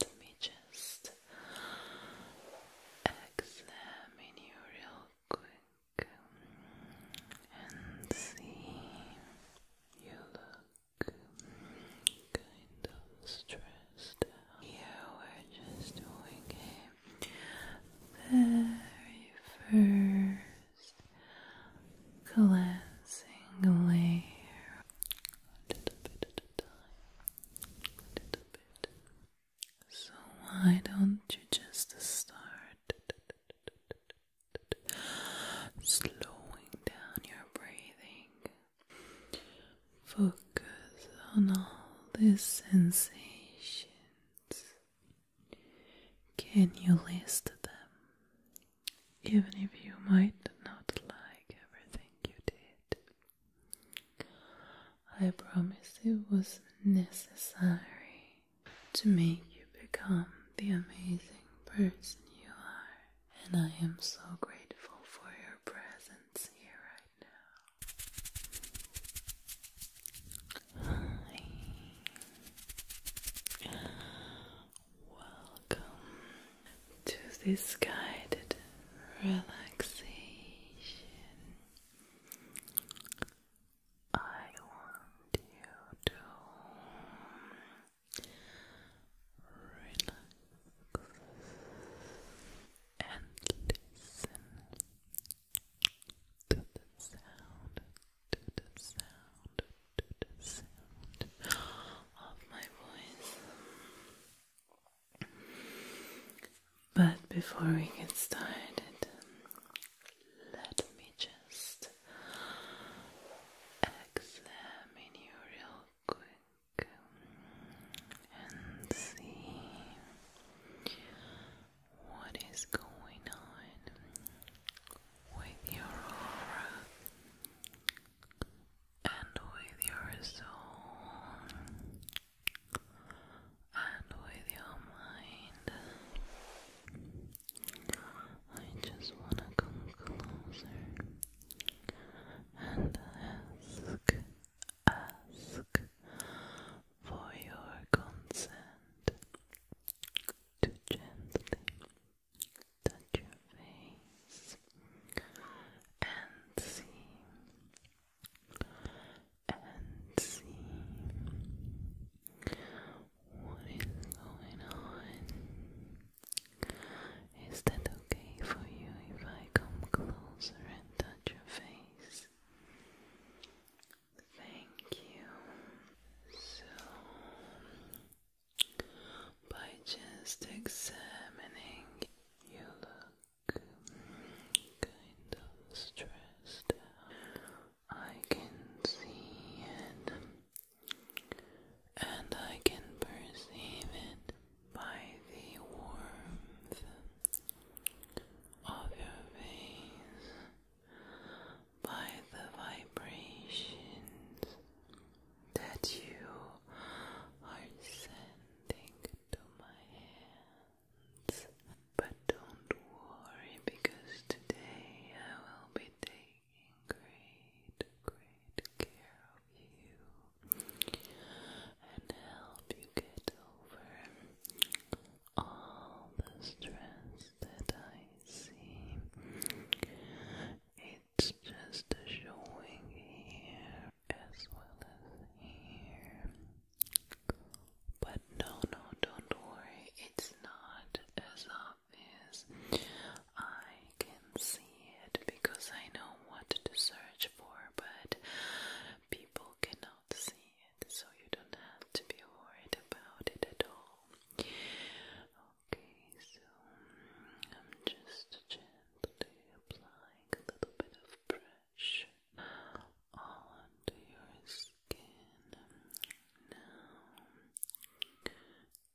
Let me just examine you real quick and see you look kind of stressed out. are just doing very first cleansing layer a little bit. So, why don't you just start slowing down your breathing? Focus on all these sensations. Can you list them? Even if you might not like everything you did. I promise it was necessary to make you become the amazing person you are, and I am so grateful for your presence here right now. Welcome to this guided relaxation. I want you to relax and listen to the sound, to the sound, to the sound of my voice. But before we get started, let me just examine you real quick and see what is going on with your aura and with your soul, and with your mind. I just want to come closer and ask, ask for your consent to gently touch your and see and see what is going on. Is that okay for you if I come closer and touch your face? Thank you. So, by just examining you look kind of stressed I can see it and I can perceive it by the warmth of your veins, by the vibrations that you are sending to my hands. But don't worry because today I will be taking great, great care of you and help you get over all the stress that I see it's just showing here as well as here. But no, no, don't worry, it's not as obvious. I can see it because I know what to search for, but people cannot see it, so you don't have to be worried about it at all. Okay, so I'm just gently applying a little bit of pressure onto your skin now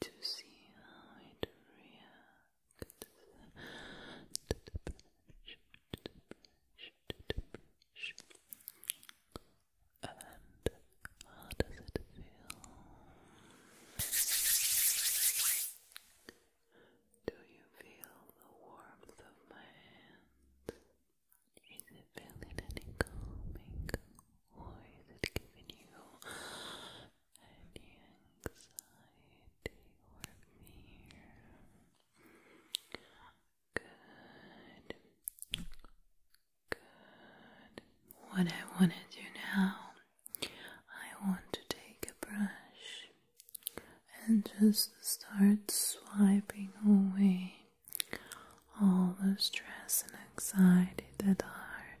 to see how it reacts And how does it feel? Do you feel the warmth of my hand? Is it feeling any calming or is it giving you any anxiety or fear? Good. Good. What I want to do now I want to take a brush and just start swiping away all the stress and anxiety that are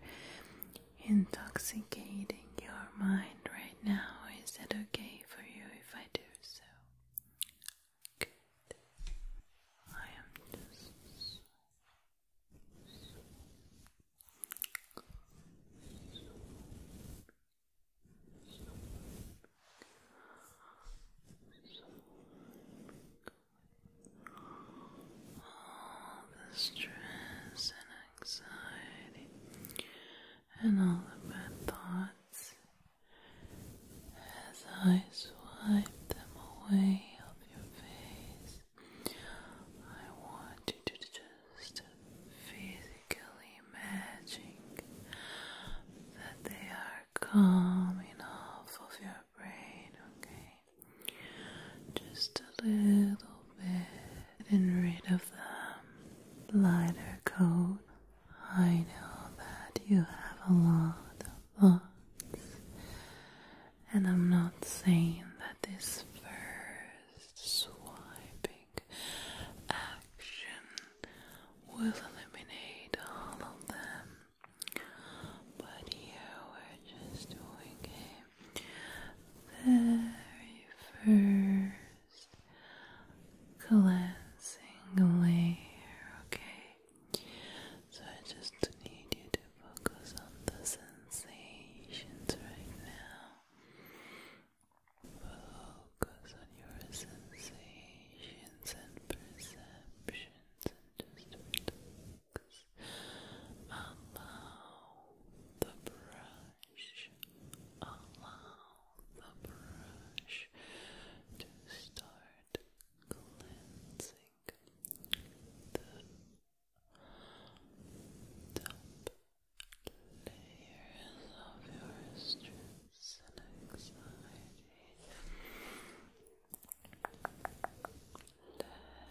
intoxicating your mind right now. Is that okay for you if I do so? Good. I am just all the stress and anxiety and all the bad thoughts as I swipe them away off your face. I want you to just just physically imagining that they are coming off of your brain, okay? Just a little bit and rid of them. Lighter coat. I know that you have a lot of thoughts, and I'm not saying that this first swiping action will eliminate all of them. But here we're just doing a very first cleansing layer, okay? So I just need you to focus on the sensations right now. Focus on your sensations and perceptions and just Allow the brush, allow the brush to start cleansing the top layers of your stress and anxiety.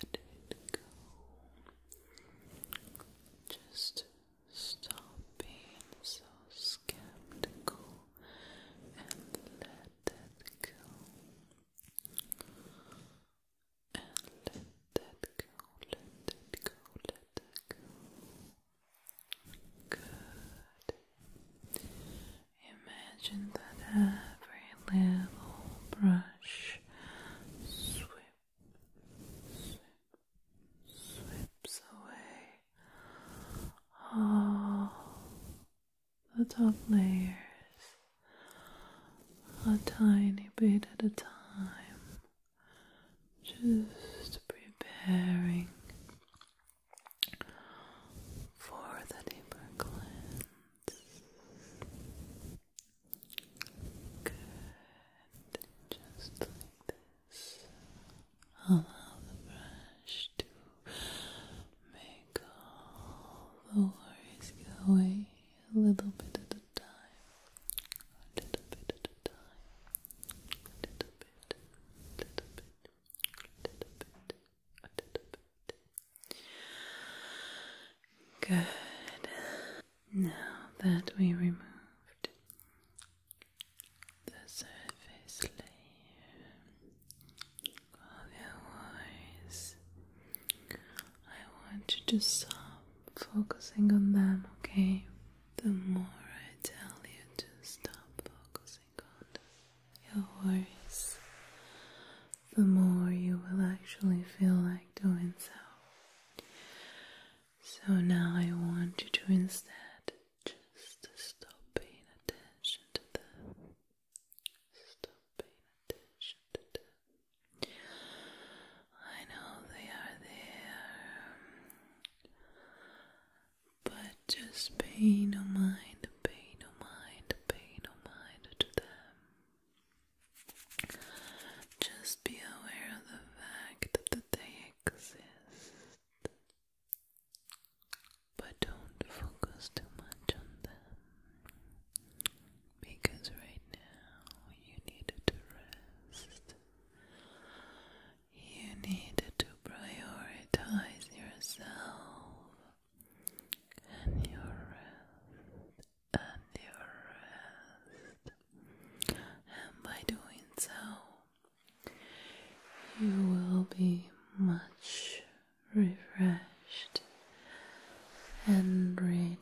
Let it go. Just stop being so skeptical and let that go. And let that go, let that go, let that go. Good. Imagine that every little brush sweep, sweeps away all the top layers a tiny bit at a time just preparing for the deeper cleanse. Good, just Allow the brush to make all the worries go away a little bit at a time, a little bit at a time. Good. Now that we removed the surface layer of your voice, I want you to soften focusing on them, okay? The more I tell you to stop focusing on your worries, the more you will actually feel like doing so. So now I want you to instead just stop paying attention to them. Stop paying attention to them. I know they are there, um, but just pay no mind, pay no mind, pay no mind to them. Just be aware of the fact that they exist, but don't focus too much on them because right now you need to rest. You need to prioritize yourself and your rest and your rest, and by doing so, you will be much refreshed and ready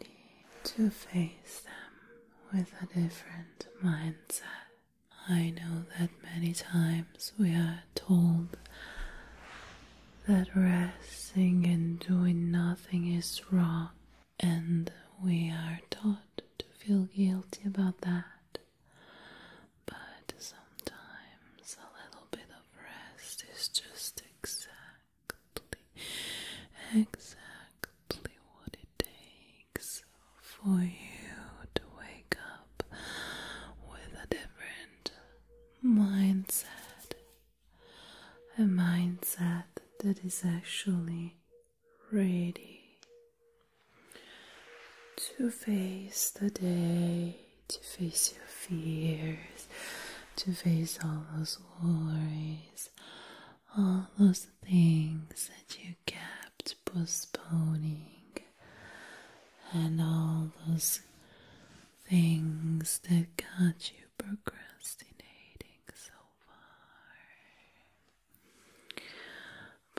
to face them with a different mindset. I know that many times we are told that resting and doing nothing is wrong, and we are taught to feel guilty about that. But sometimes a little bit of rest is just exactly, exactly exactly what it takes for you to wake up with a different mindset. A mindset that is actually ready to face the day, to face your fears, to face all those worries, all those things that you kept postponing, and all those things that got you procrastinating so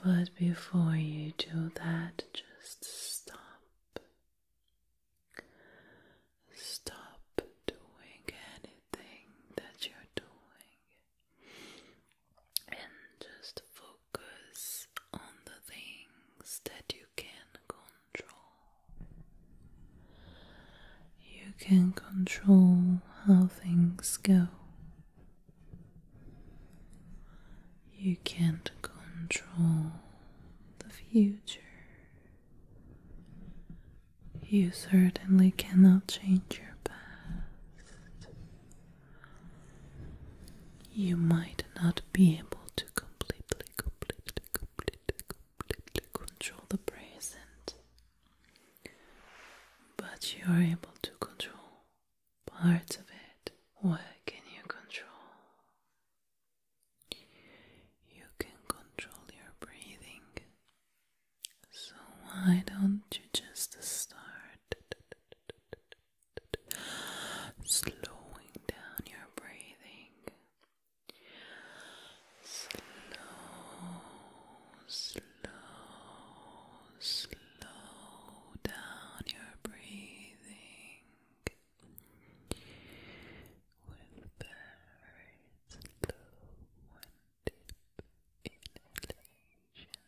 far. But before you do that, just stop. Stop doing anything that you're doing and just focus on the things that you can control. You can control how things go. You can't control the future. You certainly cannot change your past you might not be able to completely, completely, completely, completely control the present, but you are able to control parts of it. What can you control? You can control your breathing. So, why don't you just start slowing down your breathing? Slow, slow, slow down your breathing with very slow inhalation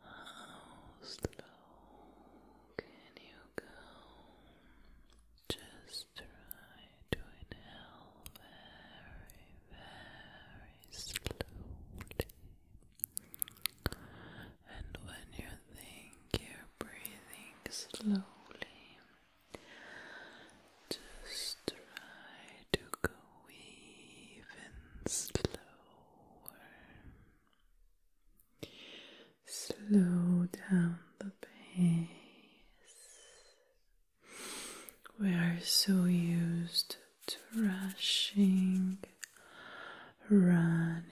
How slow can you go? Just try to inhale very, very slowly. And when you think you're breathing slowly, just try to go even slower. Slow down the pace. We are so used to rushing, running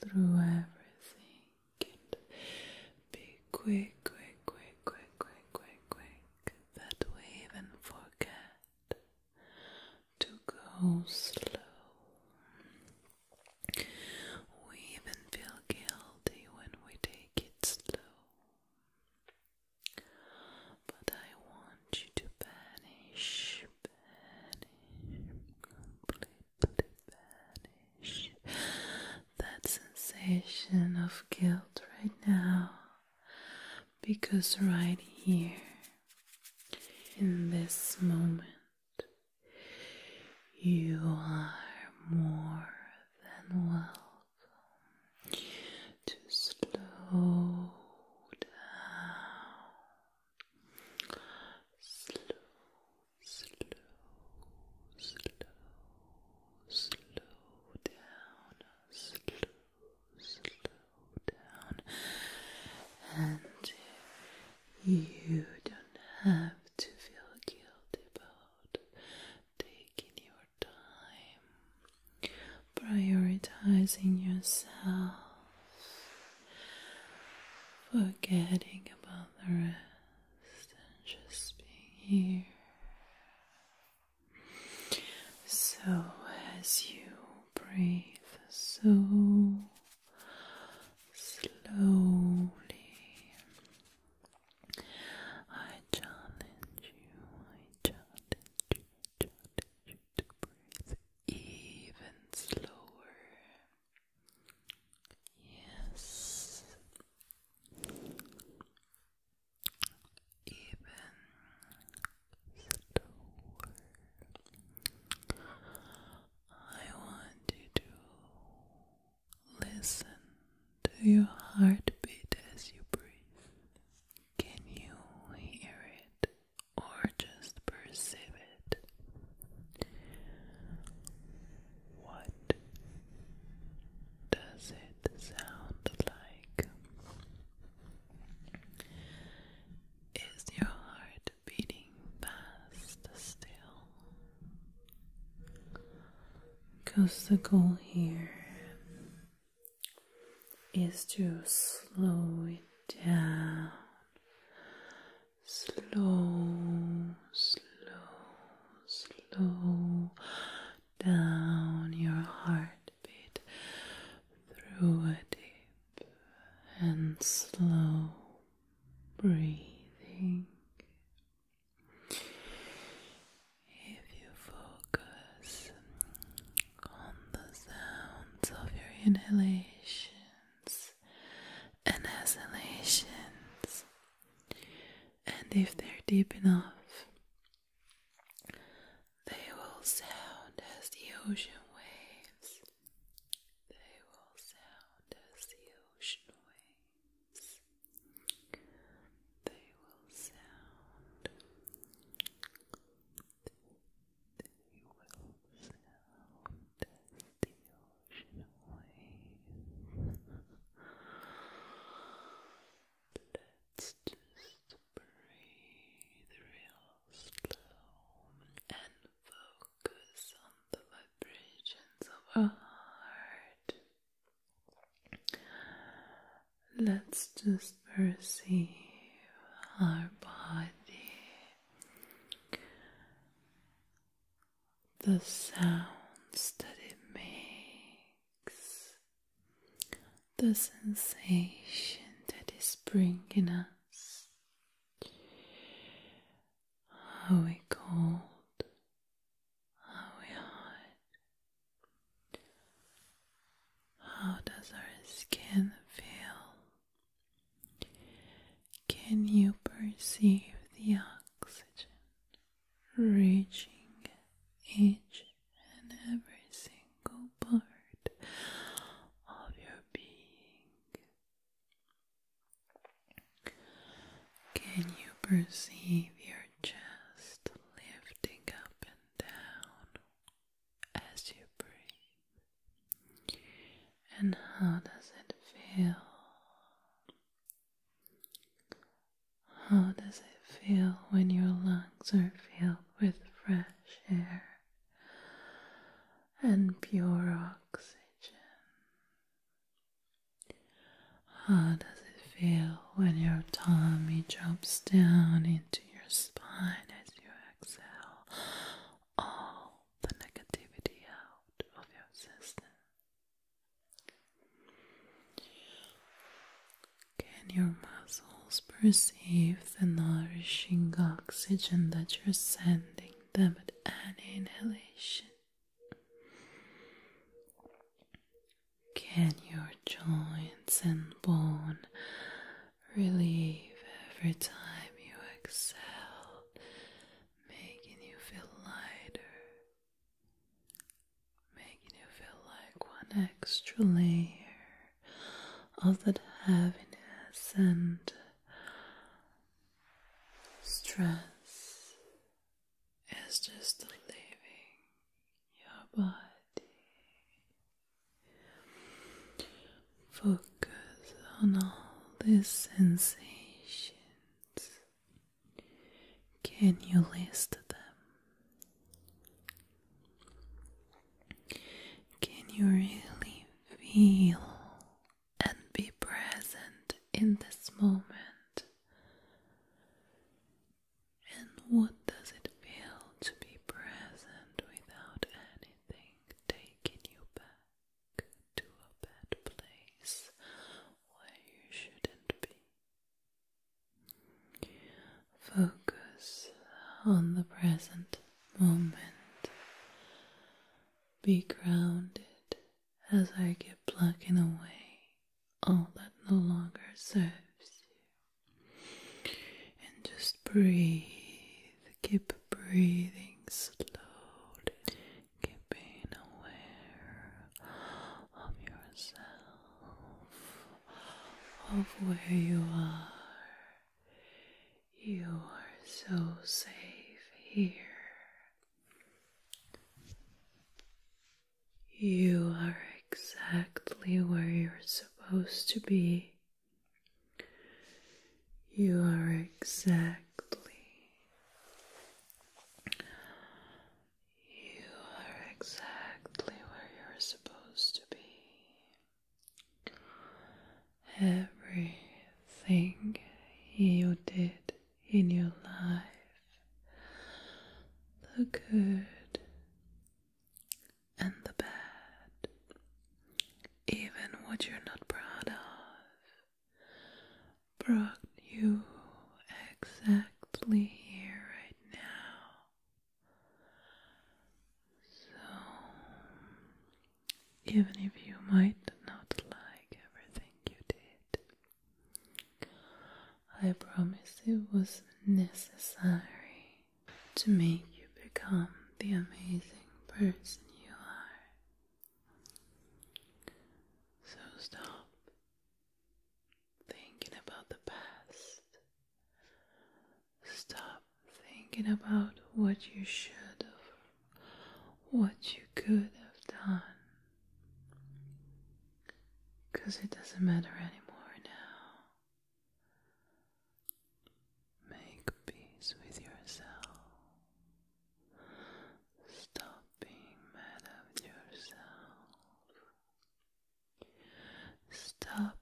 through everything. And be quick, quick, quick, quick, quick, quick, quick, that we even forget to go slow. We even feel guilty when we take it slow. But I want you to vanish, vanish, completely vanish that sensation of guilt right now because right here in this moment you are more than welcome to slow down. Slow, slow, slow, slow down, slow slow down, and you don't have to feel guilty about taking your time, prioritizing yourself, forgetting about the rest, and just being here. So, as you breathe so slowly, I challenge you, I challenge you, challenge you to breathe even slower. Yes even slower. I want to listen to your heartbeat as you breathe. Can you hear it or just perceive it? What does it sound like? Is your heart beating fast still? Because the goal here is to slow it down. Slow, slow, slow down your heart through a deep and slow breathing. If you focus on the sounds of your inhalations and exhalations, and if they're deep enough, they will sound as the ocean waves. They will sound as the ocean waves. They will sound. They will sound as the ocean waves. Let's just breathe real slow and focus on the vibrations of our heart. Let's just perceive our body, the sounds that it makes, the sensation that is bringing us. Are we cold? Are we hot? How does our skin feel? Can you perceive the oxygen reaching each and every single part of your being. Can you perceive your chest lifting up and down as you breathe? And how does it feel? How does it feel when your lungs are filled with fresh air and pure oxygen. How does it feel when your tummy drops down into your spine as you exhale all the negativity out of your system? Can your muscles perceive the nourishing oxygen that you're sending them at any inhalation? Can your joints and bone relieve every time you exhale, making you feel lighter, making you feel like one extra layer of that heaviness and stress is just leaving your body. Focus on all these sensations. Can you list them? Can you really feel and be present in this moment? And what does it feel to be present without anything taking you back to a bad place where you shouldn't be? Focus on the present moment. Be grounded as I get plucking away all that no longer serves you. And just breathe. Keep breathing slowly, keeping aware of yourself, of where you are you are so safe here. You are exactly where you're supposed to be. You are exactly. You are exactly where you're supposed to be. Everything you did in your life, the good and the bad, even what you're not proud of, brought you exactly here right now so, even if you might not like everything you did, I promise it was necessary to make you become the amazing person you are. So, stop thinking about the past Stop thinking about what you should have, what you could have done. Because it doesn't matter anymore now. Make peace with yourself. Stop being mad at yourself. Stop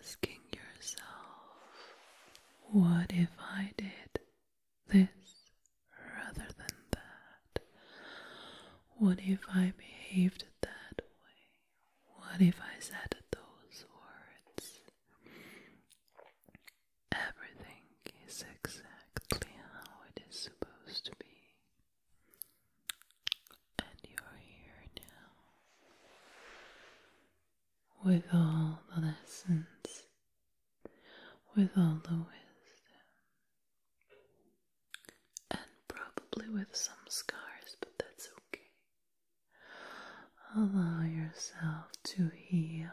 asking yourself, what if I did this rather than that? What if I behaved that way? What if I said those words? Everything is exactly how it is supposed to be. And you're here now with all the lessons, with all the wisdom, and probably with some scars, but that's okay. Allow yourself to heal.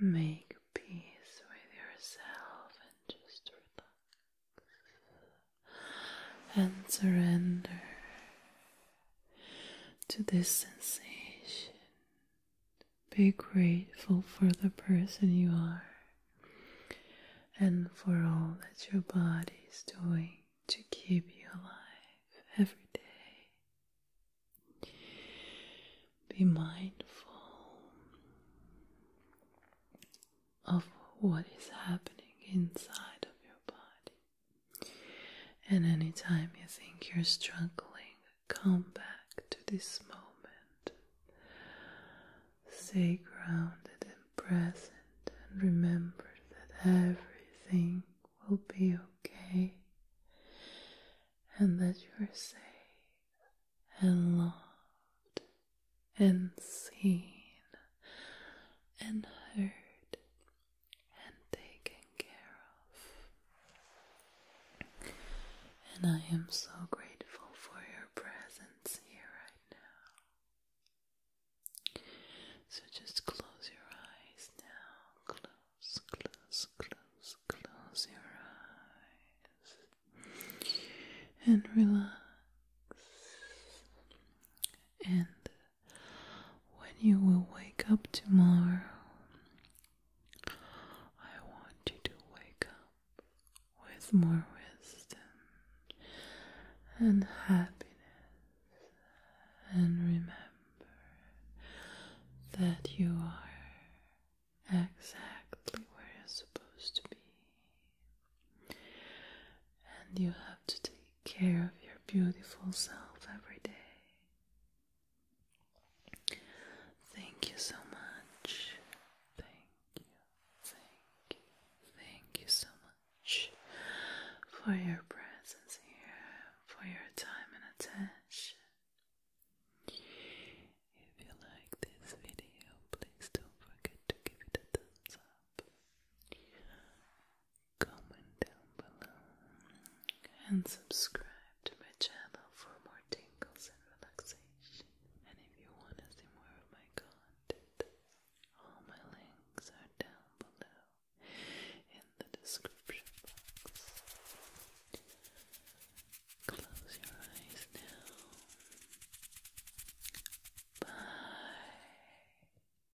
Make peace with yourself and just relax and surrender to this sensation. Be grateful for the person you are and for all that your body is doing to keep you alive every day. Be mindful of what is happening inside of your body. And anytime you think you're struggling, come back to this moment. Stay grounded and present, and remember that everything will be okay and that you're safe and loved and seen and heard and taken care of. And I am so grateful for your presence here right now. So just close your eyes now. Close, close, close, close your eyes and relax and when you will wake up tomorrow. I want you to wake up with more wisdom and happiness, and remember that you are exactly where you're supposed to be, and you have to take care of your beautiful self every day. Thank you so much. Thank you, thank you, thank you so much for your presence here, for your time and attention. If you like this video, please don't forget to give it a thumbs up comment down below and subscribe to my channel for more tingles and relaxation. And if you want to see more of my content, all my links are down below in the description box. Close your eyes now. Bye.